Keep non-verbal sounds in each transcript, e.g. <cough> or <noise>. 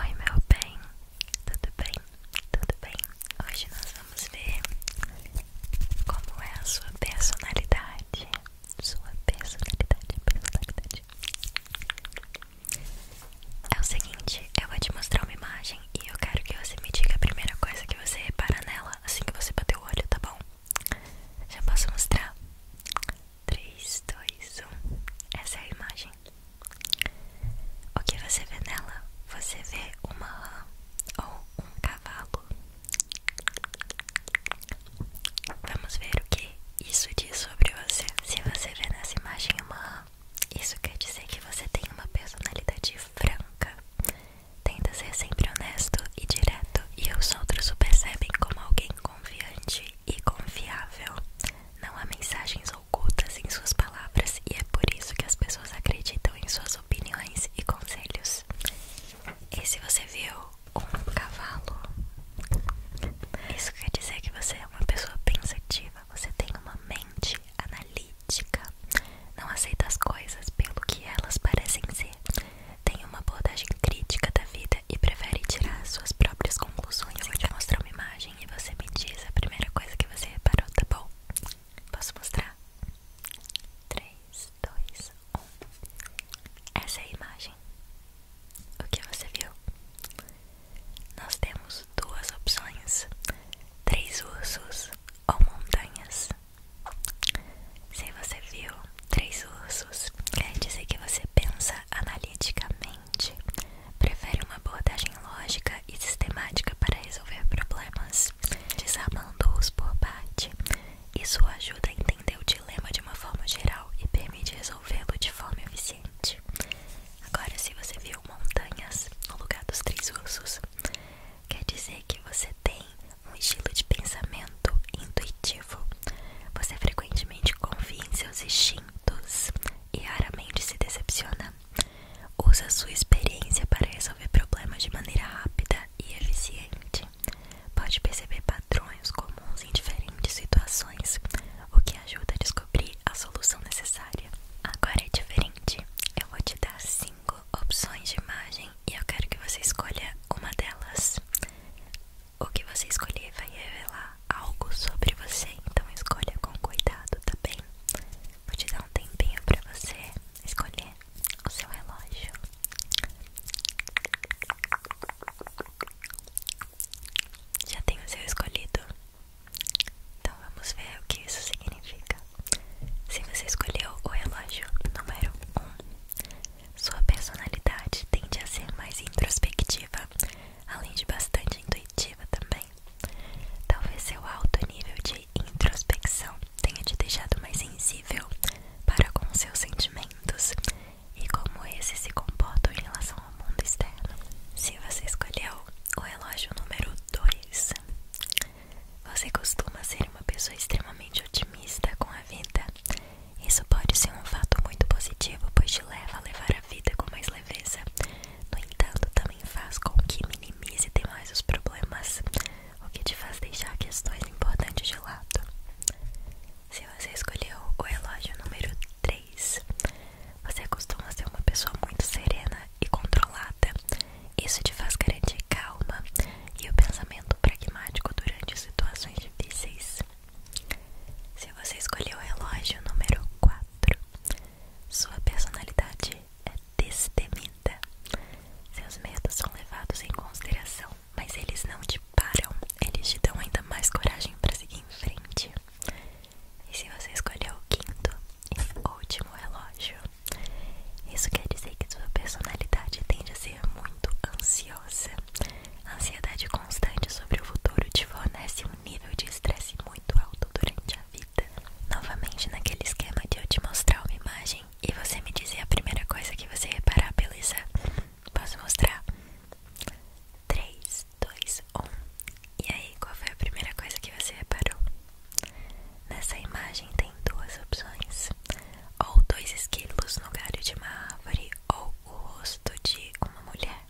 Oi meu bem, tudo bem? Tudo bem? Hoje nós vamos ver como é a sua personalidade. Sua personalidade, personalidade. É o seguinte, eu vou te mostrar uma imagem e eu quero que você me diga a primeira coisa que você repara nela assim que você bater o olho, tá bom? Já posso mostrar? 3, 2, 1. Essa é a imagem. O que você vê nela? Você vê uma rã ou um cavalo. Vamos ver o que isso diz sobre você. Se você vê nessa imagem uma rã, isso quer dizer que você tem uma personalidade franca. Tenta ser sempre honesto e direto, e os outros o percebem como alguém confiante e confiável. Não há mensagens ocultas em suas palavras e é por isso que as pessoas acreditam em suas opiniões e conselhos. E se você viu um cavalo, isso quer dizer que você é uma pessoa pensativa, você tem uma mente analítica, não aceita as coisas pelo que elas parecem ser tem uma abordagem crítica da vida e prefere tirar suas próprias conclusões. vou te mostrar uma imagem e você me diz a primeira coisa que você reparou, tá bom? Posso mostrar? 3, 2, 1. Essa é a imagem. O que você viu? Nós temos duas opções: três ursos ou montanhas. Se você viu três ursos quer é, dizer que você pensa analiticamente, prefere uma abordagem lógica e sistemática para resolver problemas, desarmando-os por parte. Isso ajuda a entender o dilema de uma forma geral e permite resolvê-lo de forma eficiente. Agora, se você viu montanhas no lugar dos três ursos, quer dizer que você tem um estilo de pensamento intuitivo você frequentemente confia em seus instintos e raramente se decepciona. Usa sua experiência para resolver problemas de maneira rápida e eficiente. Pode perceber padrões comuns em diferentes situações, o que ajuda a descobrir a solução necessária. Agora é diferente. Eu vou te dar cinco opções de imagem e eu quero que você escolha uma delas. O que você escolher vai revelar algo sobre você, então escolha com cuidado, tá bem? Vou te dar um tempinho para você escolher o seu relógio. Já tem o seu escolhido? Então vamos ver o que isso significa. Se você escolheu o relógio número 1, um, sua personalidade tende a ser mais introspectiva, além de bastante intuitiva também. Talvez seu alto nível de introspecção tenha te deixado mais sensível para com seus sentimentos e como esses se comportam em relação ao mundo externo. Se você escolheu o relógio número 2, você costuma ser uma pessoa extremamente otimista com a vida isso pode ser um fato muito positivo, pois te leva a levar a vida com mais leveza. No entanto, também faz com que minimize demais os problemas, o que te faz deixar questões importantes de lado. Se você escolheu o relógio número 3, você costuma ser uma pessoa muito serena e controlada. Isso te faz garantir calma e o pensamento pragmático durante situações difíceis. Se você escolheu o relógio número 4, sua personalidade é destemida. Seus medos são levados em consideração, mas eles não te param, eles te dão ainda mais coragem para seguir em frente. E se você escolheu o quinto e último relógio, isso quer dizer que sua personalidade tende a ser muito ansiosa. A ansiedade constante sobre o futuro te fornece um nível de estresse muito alto durante a vida. Novamente naquele esquema de eu te mostrar uma imagem e você me dizer a primeira coisa que você reparar, beleza? Posso mostrar? 3, 2, 1. E aí, qual foi a primeira coisa que você reparou? Nessa imagem tem duas opções: ou dois esquilos no galho de uma árvore, ou o rosto de uma mulher?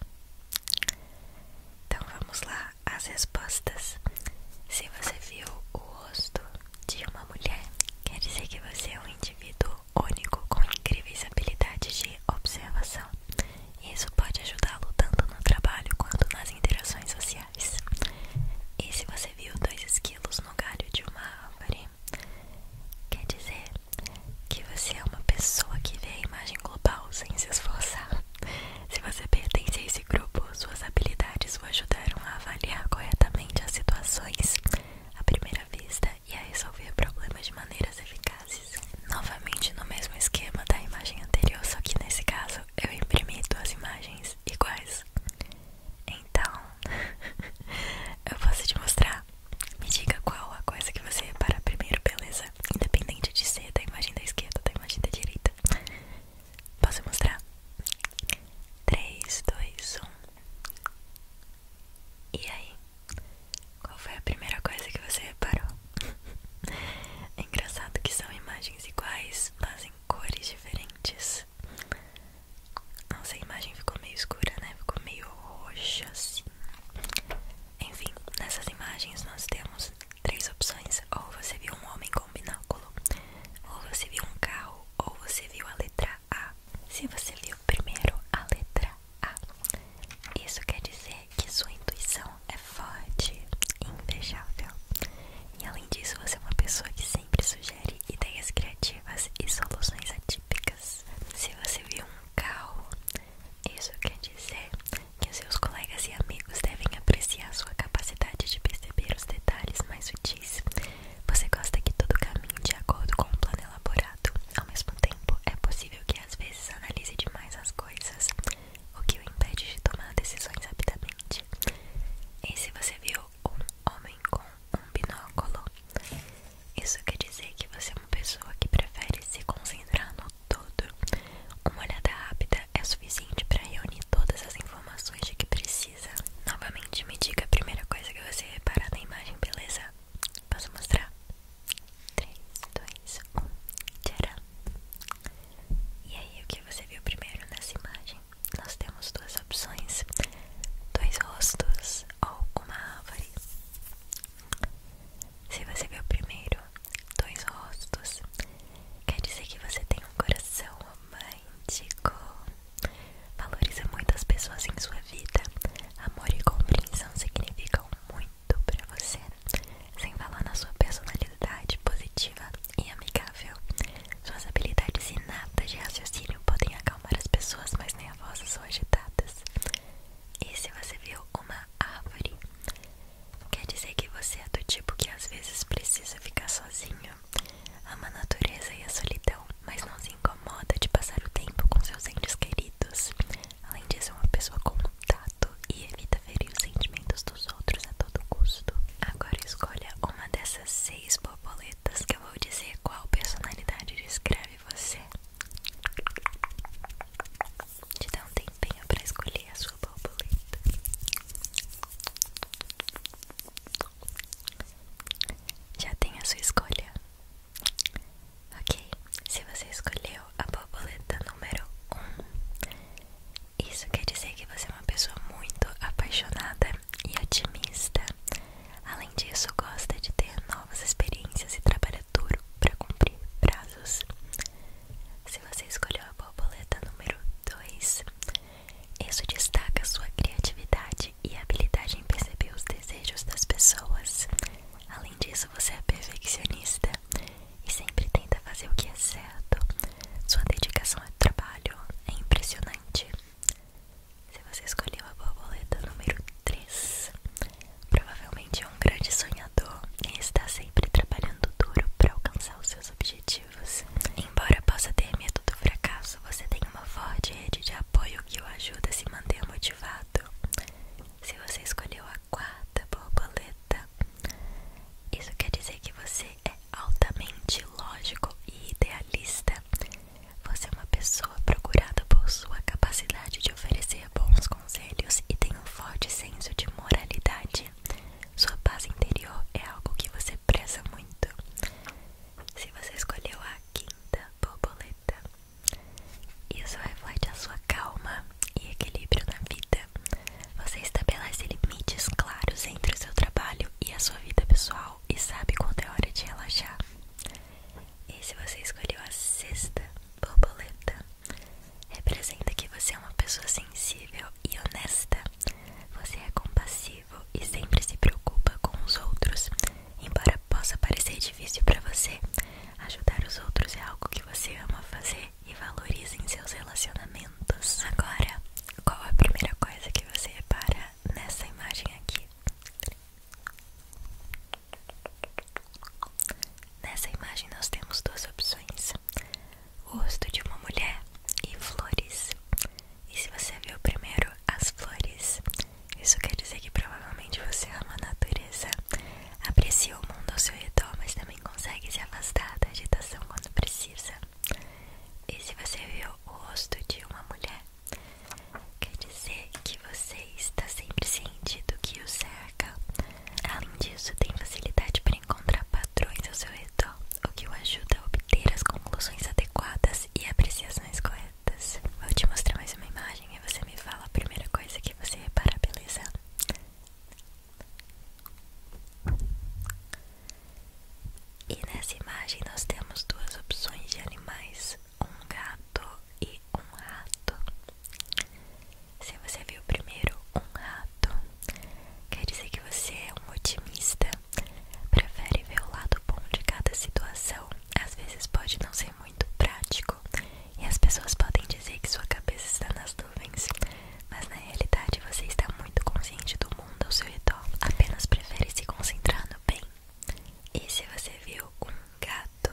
Então vamos lá, as respostas. Se você viu o rosto de uma mulher, quer dizer que você é um indivíduo único com incríveis habilidades de observação. Isso pode ajudá-lo tanto no trabalho quanto nas interações sociais. E se você viu dois esquilos no galho de uma árvore, Quer dizer que você é uma pessoa que vê a imagem global sem se esforçar. Se você pertence a esse grupo, suas habilidades o ajudaram a avaliar corretamente as situações à primeira vista e a resolver problemas de maneiras eficazes. Novamente no mesmo esquema da imagem anterior, só que nesse caso eu imprimi duas imagens iguais. Então, <laughs> eu posso te mostrar me diga qual a coisa que você repara primeiro, beleza? Independente de ser da imagem da esquerda ou da imagem da direita. Posso mostrar? 3, 2, 1. E aí? Qual foi a primeira coisa que você reparou? <laughs> é engraçado que são imagens iguais, mas em cores diferentes. Nossa, a imagem ficou meio escura, né? Ficou meio roxa assim. Enfim, nessas imagens nós temos três opções: ou você viu um homem com binóculo, ou você viu um carro, ou você viu a letra A. Se você viu primeiro a letra A, isso quer dizer que sua intuição é forte e invejável. E além disso, você é uma pessoa que sempre sugere ideias criativas e soluções atípicas. Se você viu um carro, isso quer dizer que seus colegas e amigos devem apreciar sua capacidade de perceber os detalhes mais sutis. Você gosta que todo caminhe de acordo com um plano elaborado. Ao mesmo tempo, é possível que às vezes analise demais as coisas, o que o impede de tomar decisões rapidamente. E se você viu um homem com um binóculo. Isso quer dizer que você é uma pessoa que prefere se concentrar no todo. Uma olhada rápida é suficiente para reunir todas as informações de que precisa. Novamente, me diga a primeira coisa que você reparar na imagem, beleza? Posso mostrar? 3, 2, 1, tcharam! E aí, o que você viu primeiro nessa imagem? Nós temos duas opções: dois rostos ou uma árvore. Se você vê o primeiro dois rostos, quer dizer que você tem um coração romântico. Valoriza muito as pessoas em sua vida. Amor e compreensão significam muito pra você. Sem falar na sua personalidade positiva e amigável. Suas habilidades inatas de raciocínio podem acalmar as pessoas mais nervosas ou agitadas. E se você viu uma árvore, quer dizer que você é do tipo que às vezes precisa ficar sozinho, ama a natureza e a solidão, mas não se incomoda de passar o tempo com seus entes queridos. Além disso, é uma pessoa com contato e evita ferir os sentimentos dos outros a todo custo. Agora escolha uma dessas seis borboletas que eu vou dizer qual personalidade descreve sabe você. Te dá um tempinho pra escolher a sua borboleta. Já tem a sua escolha? Ok, se você escolheu a borboleta número 1, um, isso quer dizer que você é uma pessoa muito apaixonada e otimista. Além disso, gosta de ter novas experiências e trabalha duro para cumprir prazos. Se você escolheu a borboleta número 2, isso destaca sua criatividade e habilidade em perceber os desejos das pessoas. Além disso, você é perfeccionista e sempre tenta fazer o que é certo. Sua dedicação ao trabalho é impressionante. Se você escolheu a borboleta número 3, provavelmente é um grande sonhador e está sempre trabalhando duro para alcançar os seus objetivos. Embora possa ter medo do fracasso, você tem uma forte rede de apoio que o ajuda a se manter motivado. Se você escolheu a quarta borboleta, isso quer dizer que você é altamente lógico e idealista. Você é uma pessoa procurada por sua capacidade de oferecer bons conselhos e tem um forte senso de moralidade. Sua paz interior é algo que você preza muito. Se você escolheu a quinta borboleta, isso reflete a sua calma e equilíbrio na vida. Você estabelece limites claros entre o seu trabalho e a sua vida pessoal e sabe quando é hora de relaxar. E se você escolheu a sexta borboleta, representa que você é uma pessoa sensível e honesta. Você é compassivo e sempre se preocupa com os outros. Embora possa parecer difícil para você, ajudar os outros é algo que você ama fazer e valoriza em seus relacionamentos. Agora, qual a primeira coisa que você repara nessa imagem aqui? Nessa imagem nós temos duas opções: o rosto de uma mulher e flores. E se você viu primeiro as flores, isso quer dizer que provavelmente você ama a natureza, aprecia o mundo ao seu redor, mas também consegue se afastar da agitação quando precisa. E se você viu o rosto de uma mulher, Quer dizer que você está sempre ciente do que o cerca. Além disso, tem facilidade para encontrar padrões ao seu redor, o que o ajuda a obter as conclusões adequadas e apreciações corretas. Vou te mostrar mais uma imagem e você me fala a primeira coisa que você repara, beleza? E nessa imagem nós temos duas opções de animais um gato e um rato. Se você viu primeiro um rato, quer dizer que você é um otimista. Prefere ver o lado bom de cada situação. Às vezes pode não ser muito prático e as pessoas podem dizer que sua cabeça está nas nuvens, mas na realidade você está muito consciente do mundo ao seu redor. Apenas prefere se concentrar no bem e se você viu um gato,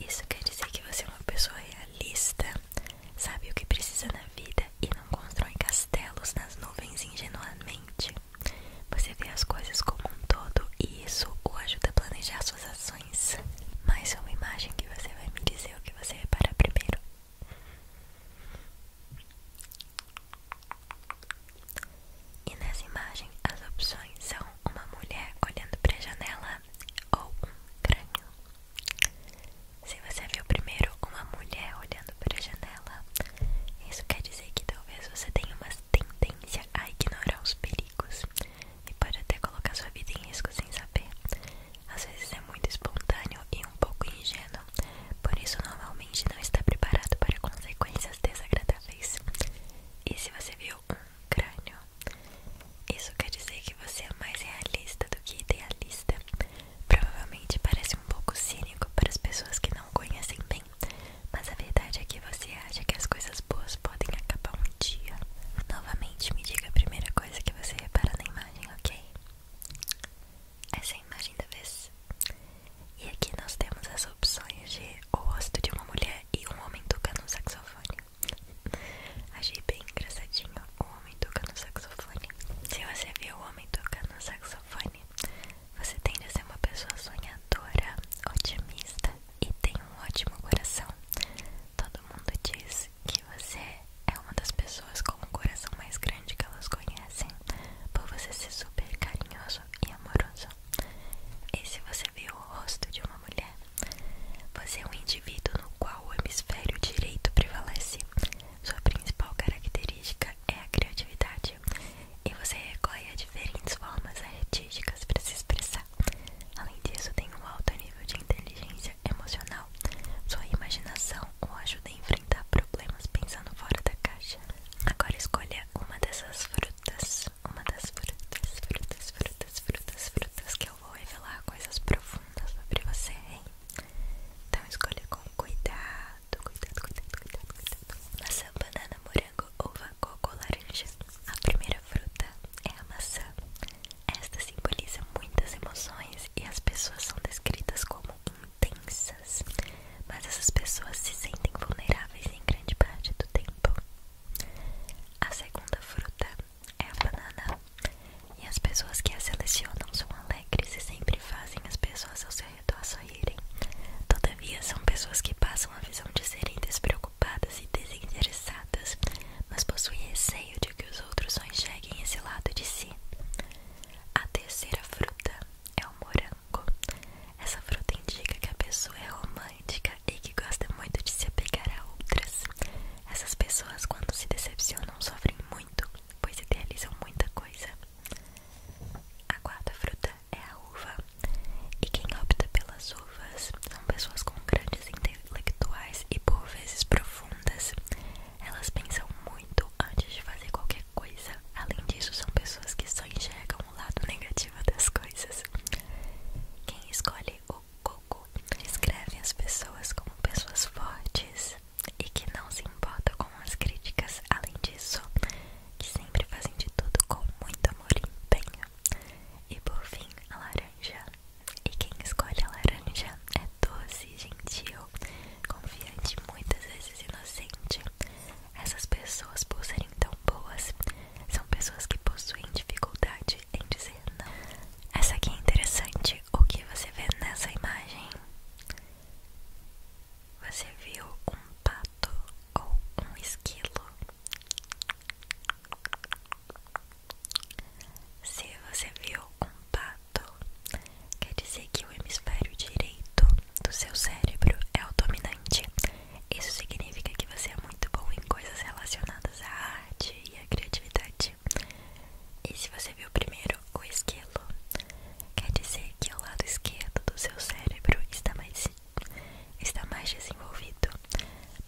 isso quer dizer que você é uma pessoa realista, sabe o que precisa na vida e não constrói castelos nas nuvens ingenuamente. Você vê as coisas como um todo e isso o ajuda a planejar suas ações. Mas é uma imagem que você vai me dizer o que você repara primeiro. E nessa imagem, as opções são uma mulher olhando para a janela ou um crânio. Se você viu primeiro uma mulher olhando para a janela, isso quer dizer que talvez você tenha uma tendência a ignorar os perigos e pode até colocar sua vida em risco sem saber. Às vezes é muito espontâneo e um pouco ingênuo, por isso normalmente não está preparado para consequências desagradáveis. E se você viu um crânio, isso quer dizer que você é mais realista do que idealista. Provavelmente parece um pouco cínico para as pessoas que não conhecem bem, mas a verdade é que você acha que as coisas boas podem acabar um dia. Novamente, me diga a primeira coisa que você repara na imagem, ok? Essa é a imagem da vez. E aqui nós temos as opções de o rosto de uma mulher e um homem tocando um saxofone. <laughs> Achei bem engraçadinho o homem tocando saxofone. Se você viu o homem tocando saxofone, você tende a ser uma pessoa sonhadora, otimista e tem um ótimo coração. Todo mundo diz que você é uma das pessoas com o coração mais grande que elas conhecem, por você ser super carinhoso e amoroso. E se você vê o rosto de uma mulher, você é um indivíduo no qual o hemisfério direito prevalece. Sua principal característica é a criatividade, e você recorre diferentes formas artísticas para se expressar. Além disso, tem um alto nível de inteligência emocional. Sua imaginação o ajuda a enfrentar problemas pensando fora da caixa. Agora escolha uma dessas frutas uma das frutas, frutas, frutas, frutas, frutas que eu vou revelar coisas profundas sobre você, hein? Então escolha com cuidado, cuidado, cuidado, cuidado, cuidado. Maçã, banana, morango, uva, coco, laranja. A primeira fruta é a maçã. Esta simboliza muitas emoções e as pessoas são descritas como intensas, mas essas pessoas se sentem vulneráveis em grande parte do tempo. A segunda fruta é a banana, e as pessoas que a selecionam são alegres e sempre fazem as pessoas ao seu redor sorrirem. Todavia, são pessoas que passam a visão de serem despreocupadas e desinteressadas, mas possuem receio de que os outros só enxerguem esse lado de si. A terceira fruta é o morango. Essa fruta indica que a pessoa é romântica e que gosta muito de se apegar a outras. Essas pessoas, quando se decepcionam, sofrem muito, pois idealizam muita coisa. A quarta fruta é a uva, e quem opta pelas uvas são pessoas com grandes intelectuais e por vezes profundas. Elas pensam muito antes de fazer qualquer coisa. Além disso, são pessoas que só enxergam o lado negativo positiva das coisas. Quem escolhe o coco descreve as pessoas como pessoas fortes e que não se importa com as críticas, além disso, que sempre fazem de tudo com muito amor e empenho. E por fim, a laranja. E quem escolhe a laranja é doce, gentil, confiante, muitas vezes inocente, essas pessoas, por serem tão boas, são pessoas que possuem dificuldade em dizer não. Essa aqui é interessante. O que você vê nessa imagem? Você viu um pato ou um esquilo? Se você viu um pato, quer dizer que o hemisfério direito do seu cérebro é o dominante isso significa que você é muito bom em coisas relacionadas à arte e à criatividade. E se você viu primeiro o esquilo, quer dizer que o lado esquerdo do seu cérebro está mais, está mais desenvolvido.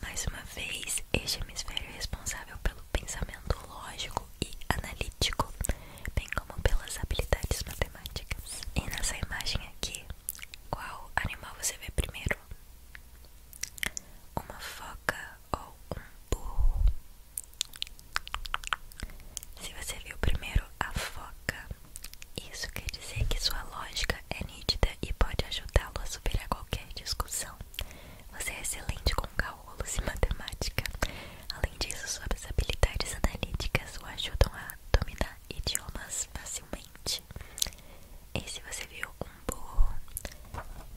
Mais uma vez, este hemisfério é responsável pelo pensamento lógico e analítico, bem como pelas habilidades matemáticas. E nessa imagem aqui, qual animal você vê primeiro? Uma foca ou um burro? Se você viu primeiro a foca, isso quer dizer que sua lógica é nítida e pode ajudá-lo a superar qualquer discussão. Você é excelente com cálculos e matemática. Além disso, suas habilidades analíticas o ajudam a dominar idiomas facilmente. E se você viu um burro,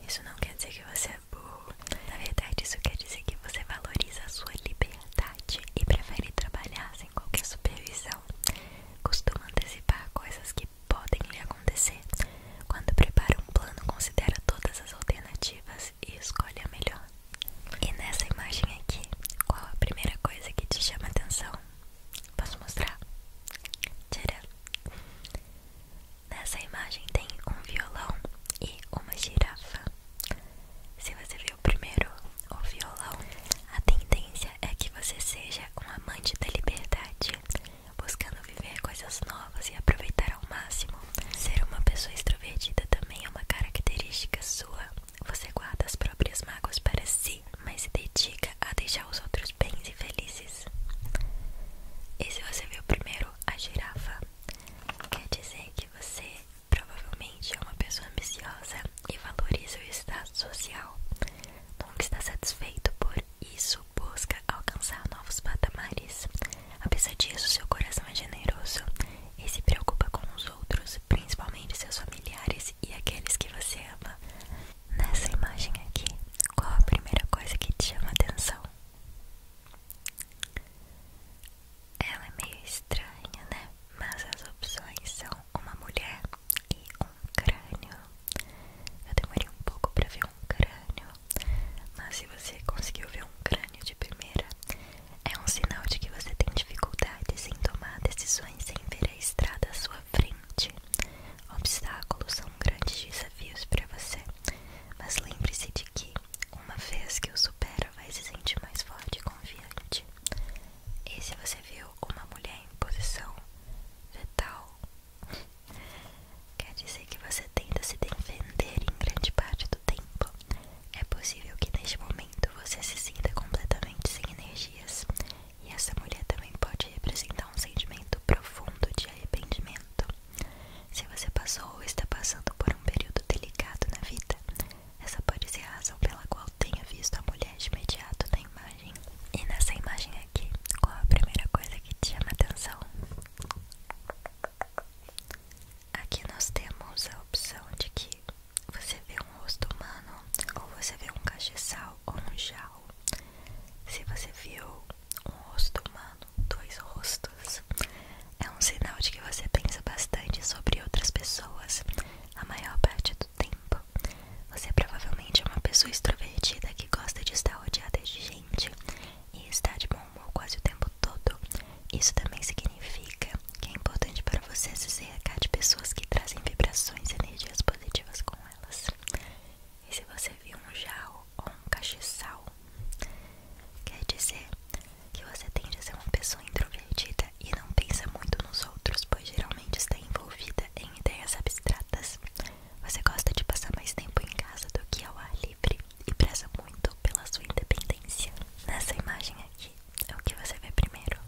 isso não quer dizer que você é burro. Na verdade, isso quer dizer que você valoriza a sua liberdade e prefere trabalhar sem qualquer supervisão. Costuma antecipar coisas que podem lhe acontecer. Quando prepara um plano, considera todas as alternativas e escolhe a melhor. E nessa imagem aqui, qual a primeira coisa que te chama atenção? Posso mostrar? Tcharam. Nessa imagem tem um violão e uma girafa. Se você viu primeiro o violão, a tendência é que você seja um amante da liberdade, buscando viver coisas novas e aproveitar ao máximo. Ser uma pessoa extrovertida também é uma característica sua você guarda as próprias mágoas para si, mas se dedica a deixar os outros bens e felizes. E se você viu primeiro a girafa, quer dizer que você provavelmente é uma pessoa ambiciosa e valoriza o estado social. Nunca está satisfeito por isso, busca alcançar novos patamares. Apesar disso, seu coração é generoso e se preocupa com os outros, principalmente seus familiares familiares e aqueles que você ama. Nessa imagem aqui, qual a primeira coisa que te chama atenção? Ela é meio estranha, né? Mas as opções são uma mulher e um crânio. Eu demorei um pouco para ver um crânio, mas se você conseguiu ver um crânio de primeira, é um sinal de que você tem dificuldades em tomar decisões sem ver a estrada à sua frente. Obstáculos são grandes desafios para você, mas lembre-se de que, uma vez que o supera, vai se sentir mais forte e confiante. E se você viu uma mulher em posição fetal, quer dizer que você tenta se defender em grande parte do tempo. É possível que neste momento você se sinta completamente sem energias e essa mulher também pode representar um sentimento profundo de arrependimento. Se você passou ou está passando por um período delicado na vida, essa pode ser a razão pela qual tenha visto a mulher de imediato na imagem. E nessa imagem aqui, qual a primeira coisa que te chama atenção? Aqui nós temos a opção de que você vê um rosto humano, ou você vê um cacheçal ou um jarro. Se você viu um rosto humano, dois rostos, é um sinal de que você pensa bastante sobre outras pessoas a maior parte do tempo. Você provavelmente é uma pessoa extrovertida que gosta de estar rodeada de gente e está de bom humor quase o tempo todo. Isso também significa que é importante para você se cercar de pessoas que trazem vibrações e energias positivas com elas. E se você viu um jarro ou um cacheçal, quer dizer que você tende a ser uma pessoa introvertida e não pensa muito nos outros, pois geralmente está envolvida em ideias abstratas. Você gosta de passar mais tempo em casa do que ao ar livre e preza muito pela sua independência. Nessa imagem aqui, é o que você vê primeiro?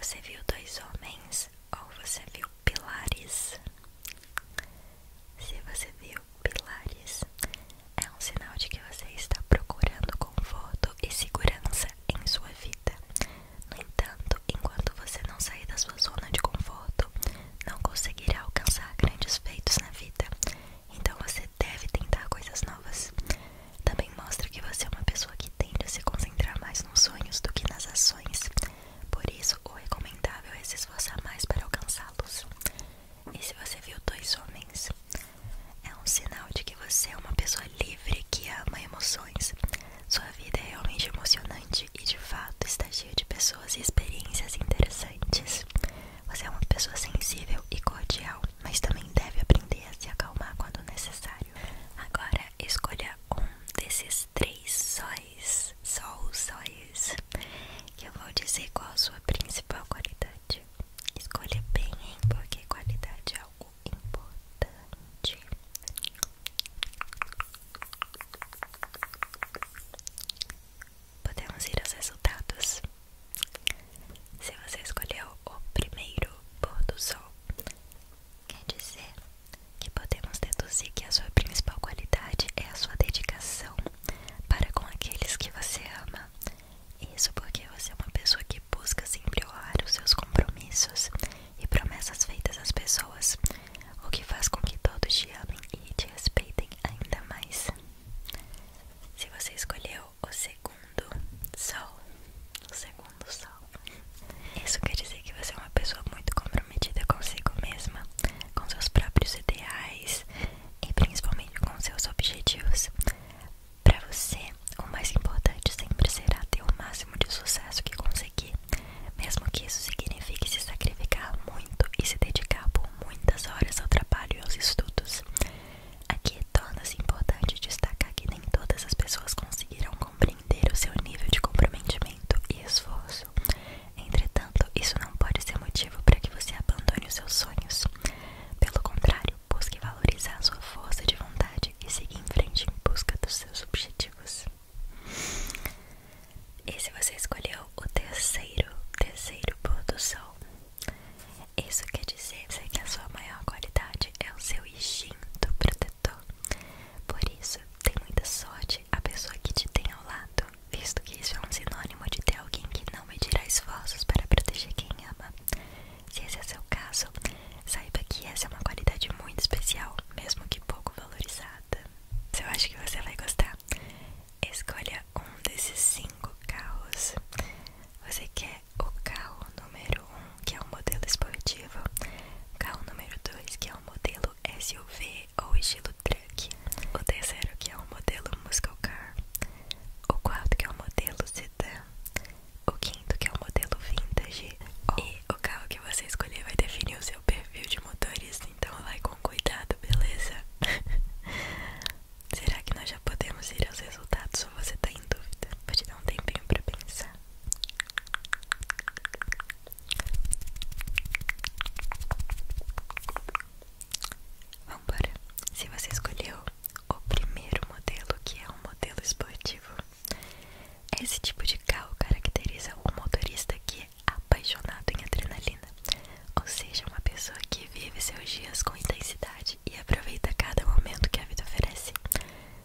Você viu dois homens ou você viu pilares? Se você viu pilares, é um sinal de que você está procurando conforto e segurança em sua vida. No entanto, enquanto você não sair da sua zona de conforto, não conseguirá alcançar grandes feitos na vida. Então você deve tentar coisas novas. Também mostra que você é uma pessoa que tende a se concentrar mais nos sonhos do que nas ações. Por isso, o recomendável é se esforçar mais para alcançá-los. E se você viu dois homens, é um sinal de que você é uma pessoa livre que ama emoções. Sua vida é realmente emocionante e de fato está cheia de pessoas e experiências interessantes. Você é uma pessoa sensível e cordial mas também deve aprender a se acalmar quando necessário. Agora escolha um desses três sóis, só os sóis, que eu vou dizer qual a sua principal qualidade. Escolha bem, hein? Porque qualidade é algo importante. Podemos ir aos resultados. Se você escolheu o primeiro pôr do sol, quer dizer que podemos deduzir que a sua principal qualidade é a sua dedicação para com aqueles que você ama. Isso porque você é uma pessoa que busca sempre honrar os seus compromissos e promessas feitas às pessoas, o que faz com que todos te amem e te respeitem ainda mais. Se você escolheu o segundo sol. O segundo sol. Isso quer dizer que você é uma pessoa muito comprometida consigo mesma, com seus próprios ideais e principalmente com seus objetivos. Para você, o mais importante sempre será ter o máximo de sucesso que conseguir, mesmo que isso signifique se sacrificar muito e se dedicar por muitas horas ao trabalho e aos estudos. Aqui é torna-se importante destacar que nem todas as pessoas conseguirão compreender o seu nível de comprometimento e esforço. Entretanto, isso não pode ser motivo para que você abandone os seus sonhos. Pelo contrário, busque valorizar a sua força de vontade e siga em frente em busca dos seus objetivos. E se você escolheu o terceiro, terceiro pôr do sol, isso quer dizer que a sua maior qualidade é o seu instinto protetor. Por isso, tem muita sorte a pessoa que te tem ao lado, visto que isso é um sinônimo de ter alguém que não medirá esforços para proteger quem ama. Se esse é seu caso, saiba que essa é uma qualidade muito especial, mesmo que pouco valorizada. Eu acho que você vai gostar. Escolha um desses cinco carros. Você quer é o carro número 1, um, que é um modelo esportivo, carro número 2, que é um modelo SUV ou estilo truck, o terceiro, que é um modelo muscle car, o quarto, que é um modelo sedã, o quinto, que é um modelo vintage, e o carro que você escolher vai definir o seu perfil de motorista, então vai com cuidado, beleza? <laughs> Será que nós já podemos ir aos resultados ou você está em dúvida? Vou te dar um tempinho para pensar. Vambora. Se você escolheu o primeiro modelo, que é um modelo esportivo, esse tipo de carro caracteriza o motorista que é apaixonado em adrenalina, ou seja, uma pessoa que vive seus dias com intensidade e aproveita cada momento que a vida oferece.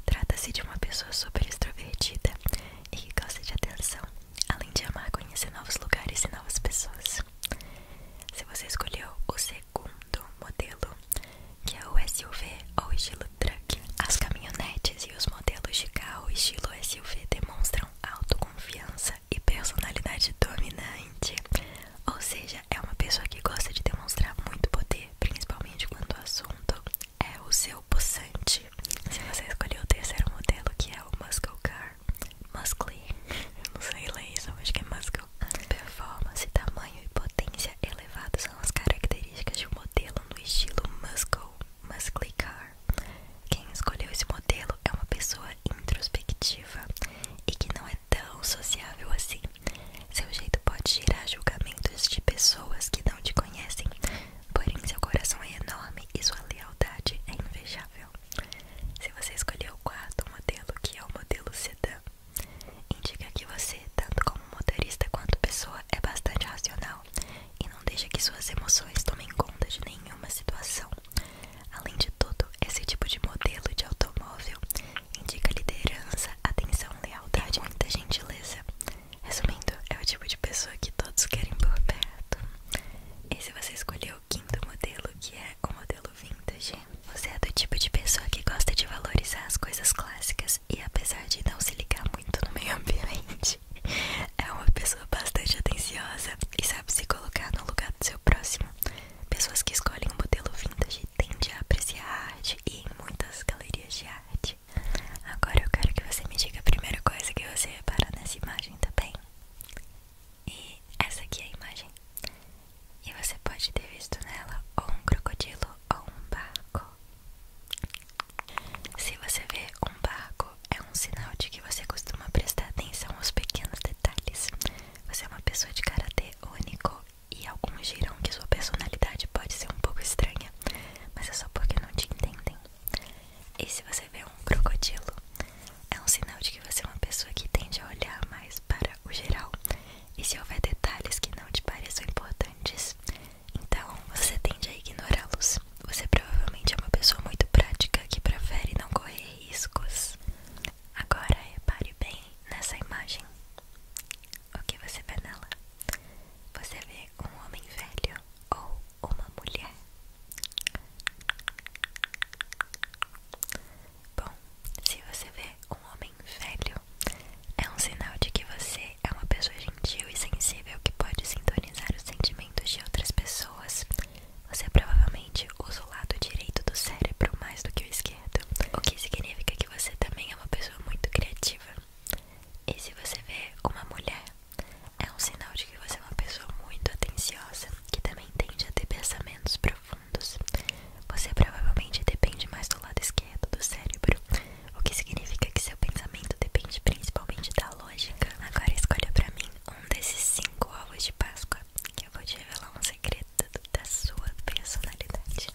Trata-se de uma pessoa super extrovertida e que gosta de atenção, além de amar conhecer novos lugares e novas pessoas. Se você escolheu o segundo modelo, que é o SUV ou estilo truck, as caminhonetes e os modelos de carro estilo SUV demonstram autoconfiança e personalidade dominante, ou seja, é uma pessoa que gosta de demonstrar muito poder, principalmente quando o assunto é o seu possante. Se você escolher o terceiro modelo, que é o Muscle Car, Muscle, não sei ler isso, acho que é Muscle. Performance, tamanho e potência elevados são as características de um modelo no estilo Muscle, Muscle Car. Quem escolheu esse modelo é uma pessoa introspectiva e que não é é tão sociável assim. Seu jeito pode gerar julgamentos de pessoas que não te conhecem, porém seu coração é enorme e sua lealdade é invejável. Se você escolheu o quarto modelo, que é o modelo sedã, indica que você, tanto como motorista quanto pessoa, é bastante racional e não deixa que suas emoções tomem conta de nenhuma situação. Além de tudo, esse tipo de modelo de automóvel indica liderança, atenção, lealdade e muita gentileza. Resumindo, é o tipo de pessoa que todos querem por perto. E se você escolheu o quinto modelo, que é o modelo vintage, você é do tipo de pessoa que gosta de valorizar as coisas clássicas e, apesar de não se ligar muito no meio ambiente, é uma pessoa bastante atenciosa e sabe se colocar no lugar do seu próximo. Pessoas que escolhem o modelo vintage gente tende a apreciar arte e em muitas galerias de arte. Agora eu quero que você me diga a primeira coisa que você repara nessa imagem, também. E essa aqui é a imagem. E você pode ter visto nela ou um crocodilo ou um barco. Se você vê um barco, é um sinal de que você costuma prestar atenção aos pequenos detalhes. Você é uma pessoa de caráter único e alguns dirão que sua personalidade pode ser um pouco estranha, mas é só porque não te entendem. E se você vê um crocodilo, é um sinal de que você é uma pessoa que tende a olhar mais para o geral. E se houver detalhes que não te pareçam importantes, então você tende a ignorá-los. Você provavelmente é uma pessoa muito prática que prefere não correr riscos. Agora repare bem nessa imagem. O que você vê nela? Você vê um homem velho ou uma mulher? Bom, se você vê um homem velho, é um sinal de que você é uma pessoa gentil e sensível que pode sintonizar os sentimentos de outras pessoas. Você provavelmente usa o lado direito do cérebro mais do que o esquerdo o que significa que você também é uma pessoa muito criativa. E se você ver uma mulher, é um sinal de que você é uma pessoa muito atenciosa, que também tende a ter pensamentos profundos. Você provavelmente depende mais do lado esquerdo do cérebro, o que significa que seu pensamento depende principalmente da lógica. Agora escolha para mim um desses cinco ovos de Páscoa, eu vou te revelar um segredo da sua personalidade.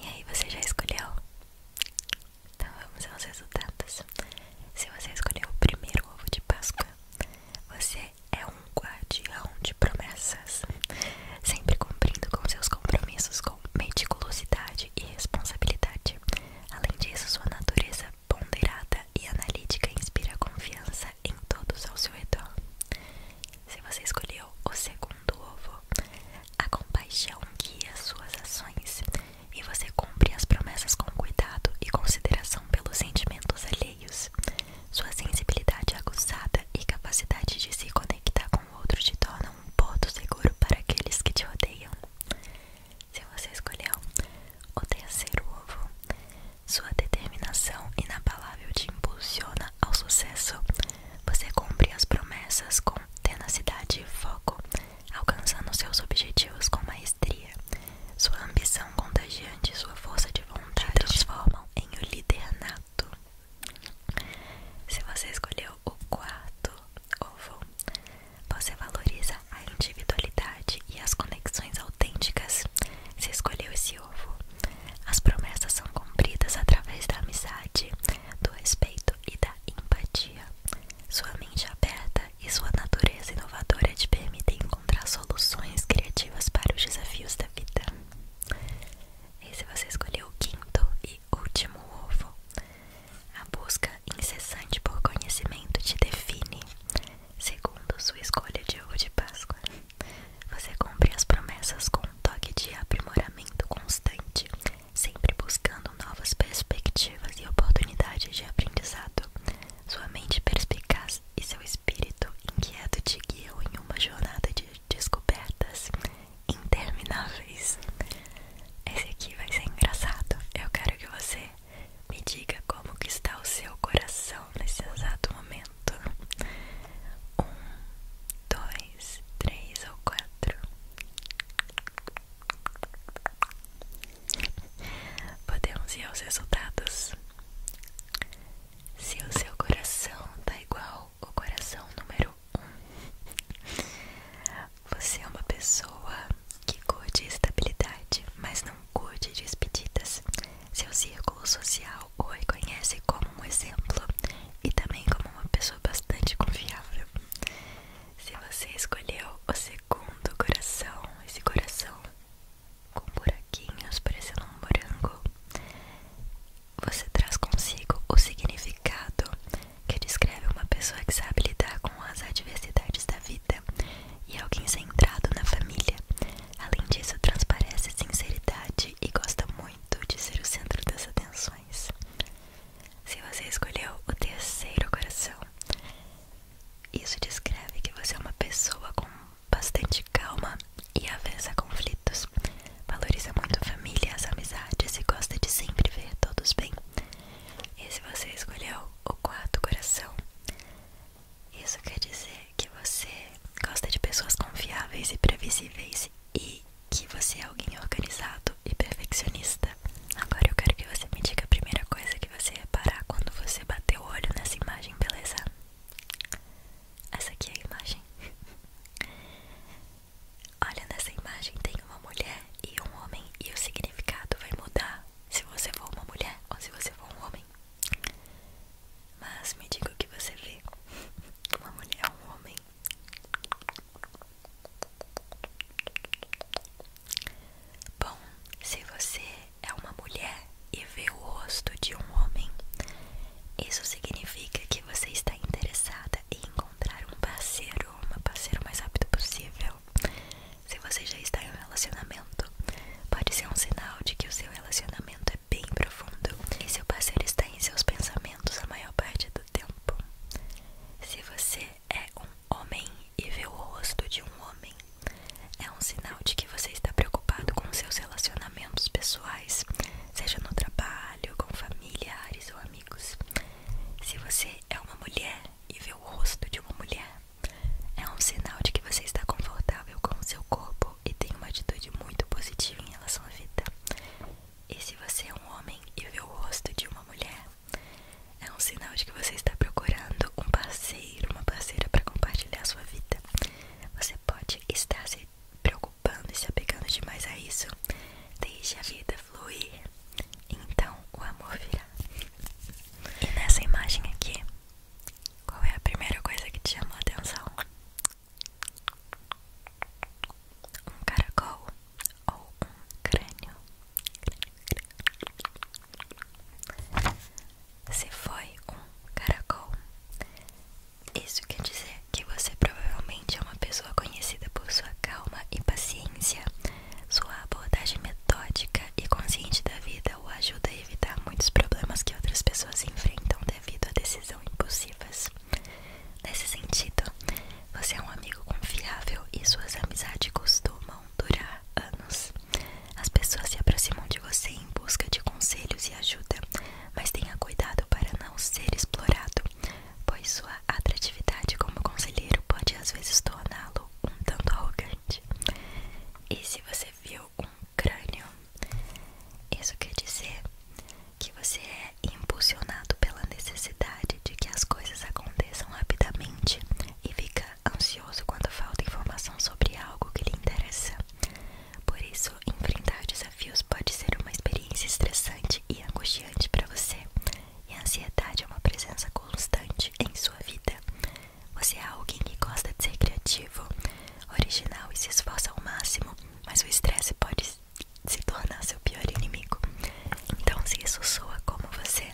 E aí, você já escolheu? Então vamos aos resultados. Se você escolheu o primeiro ovo de Páscoa, você é um guardião de promessas, sempre cumprindo com seus compromissos com meticulosidade e responsabilidade. Além disso, sua natureza ponderada e analítica inspira confiança em todos ao seu redor. Se você escolheu o segundo ovo, a compaixão guia suas ações e você cumpre as promessas com cuidado e consideração pelos sentimentos alheios. Sua sensibilidade aguçada e capacidade de se conectar com outros te tornam um porto seguro para aqueles que te rodeiam. Se você escolheu o terceiro ovo, sua determinação inabalável te impulsiona ao sucesso. Você cumpre as promessas com tenacidade e foco, alcançando seus objetivos com maestria. Sua ambição contagiante e sua força de vontade transformam em um líder Se você escolheu o quarto ovo, você valoriza a individualidade e as conexões autênticas. Você escolheu esse ovo. As promessas são cumpridas através da amizade, do respeito e da empatia. Sua mente é aberta e sua natureza inovadora te permitem encontrar soluções criativas para os desafios da vida. Se você escolheu o quinto e último ovo. A busca incessante por conhecimento te define. Segundo sua escolha de ovo de Páscoa, você cumpre as promessas com um toque de aprimoramento constante, sempre buscando novas perspectivas e oportunidades de aprendizado. Sua mente perspicaz e seu espírito inquieto te guiam em uma jornada de descobertas intermináveis. Esse aqui vai ser engraçado. Eu quero que você me diga como que está o seu coração nesse exato momento. Um, dois, três ou quatro. Podemos ir aos resultados. Se o seu coração tá igual o coração número um, você é uma pessoa que gosta de estabilidade, mas não curte despedidas. Seu círculo social o reconhece como um exemplo e também como uma pessoa bastante confiável. Se você escolheu o segundo coração, esse coração com buraquinhos parecendo um morango, você traz consigo o significado que descreve uma pessoa que sabe lidar com as adversidades da vida e alguém centrado na família. Além disso, transparece sinceridade e gosta muito de ser o centro das atenções. Se você escolheu o terceiro coração, isso descreve que você é uma pessoa com bastante calma e avessa conflitos. Valoriza muito a família, as amizades e gosta de sempre ver todos bem. E se você escolheu o quarto coração, isso quer dizer que você gosta de pessoas confiáveis e previsíveis e que você é alguém organizado e perfeccionista. Agora eu quero que você me diga a primeira coisa que você reparar quando você bater o olho nessa imagem, beleza? Essa aqui é a imagem. Olha nessa imagem tem uma mulher e um homem e o significado vai mudar se você for uma mulher ou se você for um homem. Mas me diga o que você vê. Uma mulher ou um homem. Bom, se você é uma mulher e vê o rosto de um homem, isso significa que você está interessada em encontrar um parceiro, uma parceira o mais rápido possível. Se você já está em um relacionamento, pode ser um sinal de que o seu relacionamento é bem profundo e seu parceiro está em seus pensamentos a maior parte do tempo. Se você é um homem e vê o rosto de um homem, é um sinal de que você está preocupado com seus relacionamentos pessoais, seja no trabalho, com familiares ou amigos. Se você é uma mulher e vê o rosto de uma mulher, é um sinal de que você está confortável com o seu corpo e tem uma atitude muito positiva em relação à vida. E se você é um homem e vê o rosto de uma mulher, é um sinal de que você está procurando um parceiro, uma parceira para compartilhar sua vida. Você pode estar se preocupando e se apegando demais a isso. Deixe a vida fluir, então o amor virá. E nessa imagem aqui, qual é a primeira coisa que te chamou a atenção? Um caracol ou um crânio? Se foi um caracol, isso quer dizer que você provavelmente é uma pessoa conhecida por sua calma e paciência sua abordagem metódica e consciente da vida o ajuda a evitar muitos problemas que outras pessoas enfrentam devido a decisões impulsivas. Nesse sentido, você é um amigo confiável e suas amizades costumam durar anos. As pessoas se aproximam de você em busca de conselhos e ajuda, mas tenha cuidado para não ser explorado, pois sua atratividade como conselheiro pode às vezes torná-lo um tanto arrogante. E se você viu um crânio, isso quer dizer que você é impulsionado pela necessidade de que as coisas aconteçam rapidamente e fica ansioso quando falta informação sobre algo que lhe interessa. Por isso, enfrentar desafios pode ser uma experiência estressante e angustiante para você, e a ansiedade é uma presença constante em sua vida. Você é alguém que gosta de ser criativo, original e se esforça ao máximo, mas o estresse pode se tornar seu pior inimigo. Então, se isso soa como você,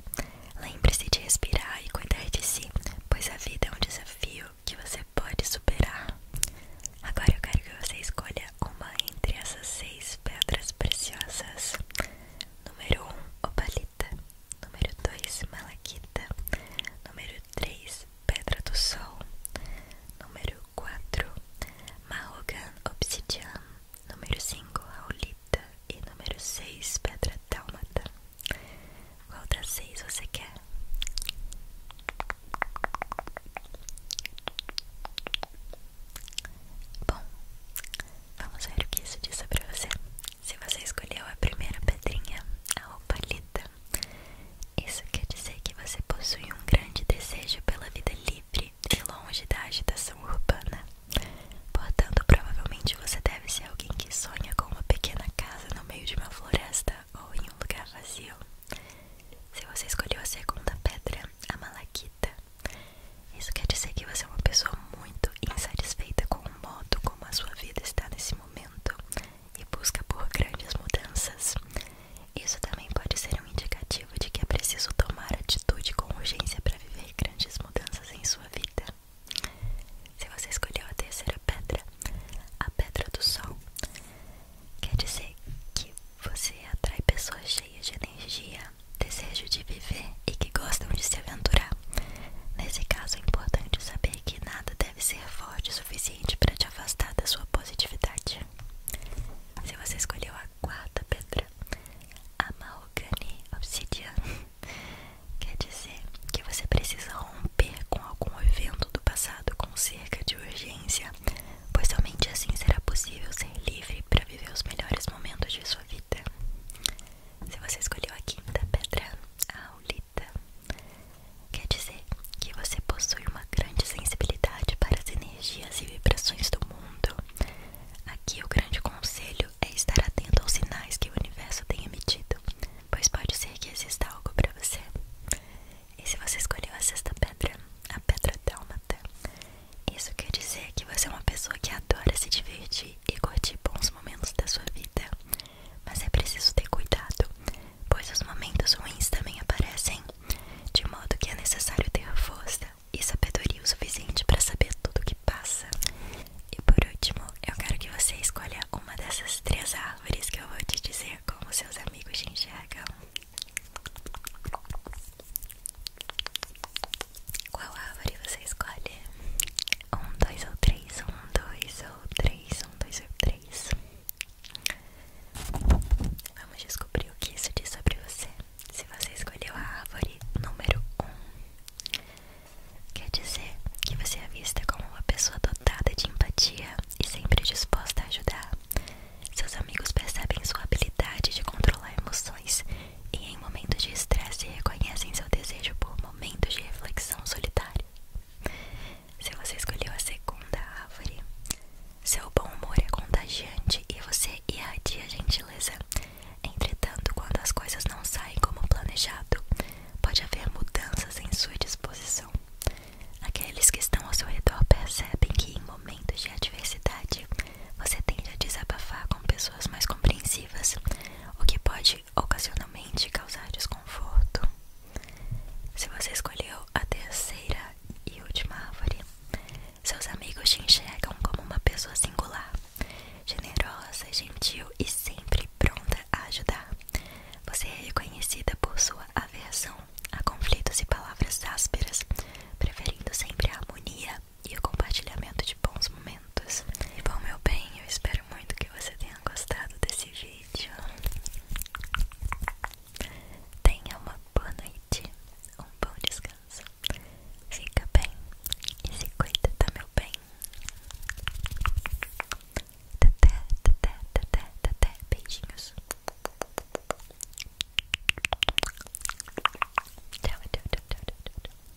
lembre-se de respirar e cuidar de si, pois a vida é um desafio que você pode superar. Agora eu quero que você escolha uma entre essas seis pedras preciosas. Número 1, o opalina número 2, Malaquita, número 3, Pedra do Sol, número 4, Marrogan Obsidian, número 5, Raulita e número 6, Pedra Dálmata. Qual das seis você quer? Bom, vamos ver o que isso diz sobre você. Se você escolheu a primeira pedrinha, a opalita, isso quer dizer que você possui um grande desejo pela vida livre e longe da agitação urbana. Portanto, provavelmente você deve ser alguém que sonha com uma pequena casa no meio de uma floresta ou em um lugar vazio. Se você escolheu a segunda pedra, a malaquita, isso quer dizer que você é uma pessoa muito insatisfeita com o modo como a sua vida está nesse momento e busca por grandes mudanças. Isso também pode ser um indicativo de que é preciso tomar atitude com urgência para viver grandes mudanças em sua vida. Se você escolheu a terceira pedra, a pedra do sol, quer dizer que você atrai pessoas cheias de energia, desejo de viver e que gostam de se aventurar. Nesse caso, é importante saber que nada deve ser forte o suficiente para te afastar da sua positividade. Se você escolheu a quarta pedra, a Mahogany Obsidian, <laughs> quer dizer que você precisa romper com algum evento do passado com cerca de urgência, pois somente assim será possível ser livre para viver os melhores momentos de sua vida. Se você escolheu a quinta pedra, a aulita, quer dizer que você possui uma grande sensibilidade para as energias e vibrações do mundo. Aqui o grande conselho é estar atento aos sinais que o universo tem emitido, pois pode ser que exista algo para você. E se você escolheu a sexta pedra, a pedra dálmata, isso quer dizer que você é uma pessoa que adora se divertir e curtir bons momentos da sua vida, mas é preciso ter cuidado, pois os momentos ruins também aparecem, de modo que é necessário ter força e sabedoria o suficiente para saber tudo o que passa. E por último, eu quero que você escolha uma dessas três árvores que eu vou te dizer como seus amigos te enxergam. Qual árvore você escolhe? Um, dois ou três? Um, dois ou três? Um, dois ou três? Vamos descobrir o que isso diz sobre você. Se você escolheu a árvore número um, quer dizer que você é vista como uma pessoa dotada de empatia e sempre disposta a ajudar. Seus amigos percebem sua habilidade de controlar emoções e em momentos de estresse reconhecem seu desejo por momentos de reflexão solitária. Se você escolheu a segunda árvore, seu bom humor é contagiante e você irradia gentileza. Entretanto, quando as coisas não saem como planejado, pode haver mudanças em sua disposição. Aqueles que estão ao seu redor percebem que em momentos de adversidade você tende a desabafar com pessoas mais compreensivas, o que pode ocasionalmente causar desconforto. Se você escolheu a terceira e última árvore, seus amigos te enxergam como uma pessoa singular, generosa, gentil e sempre pronta a ajudar. Você é reconhecida por sua aversão a conflitos e palavras ásperas, preferindo sempre a harmonia e o compartilhamento de bons momentos. E bom, meu bem, eu espero muito que você tenha gostado desse vídeo. Tenha uma boa noite, um bom descanso. Fica bem e se cuida, tá, meu bem? beijinhos. tchau, tchau, tchau, tchau.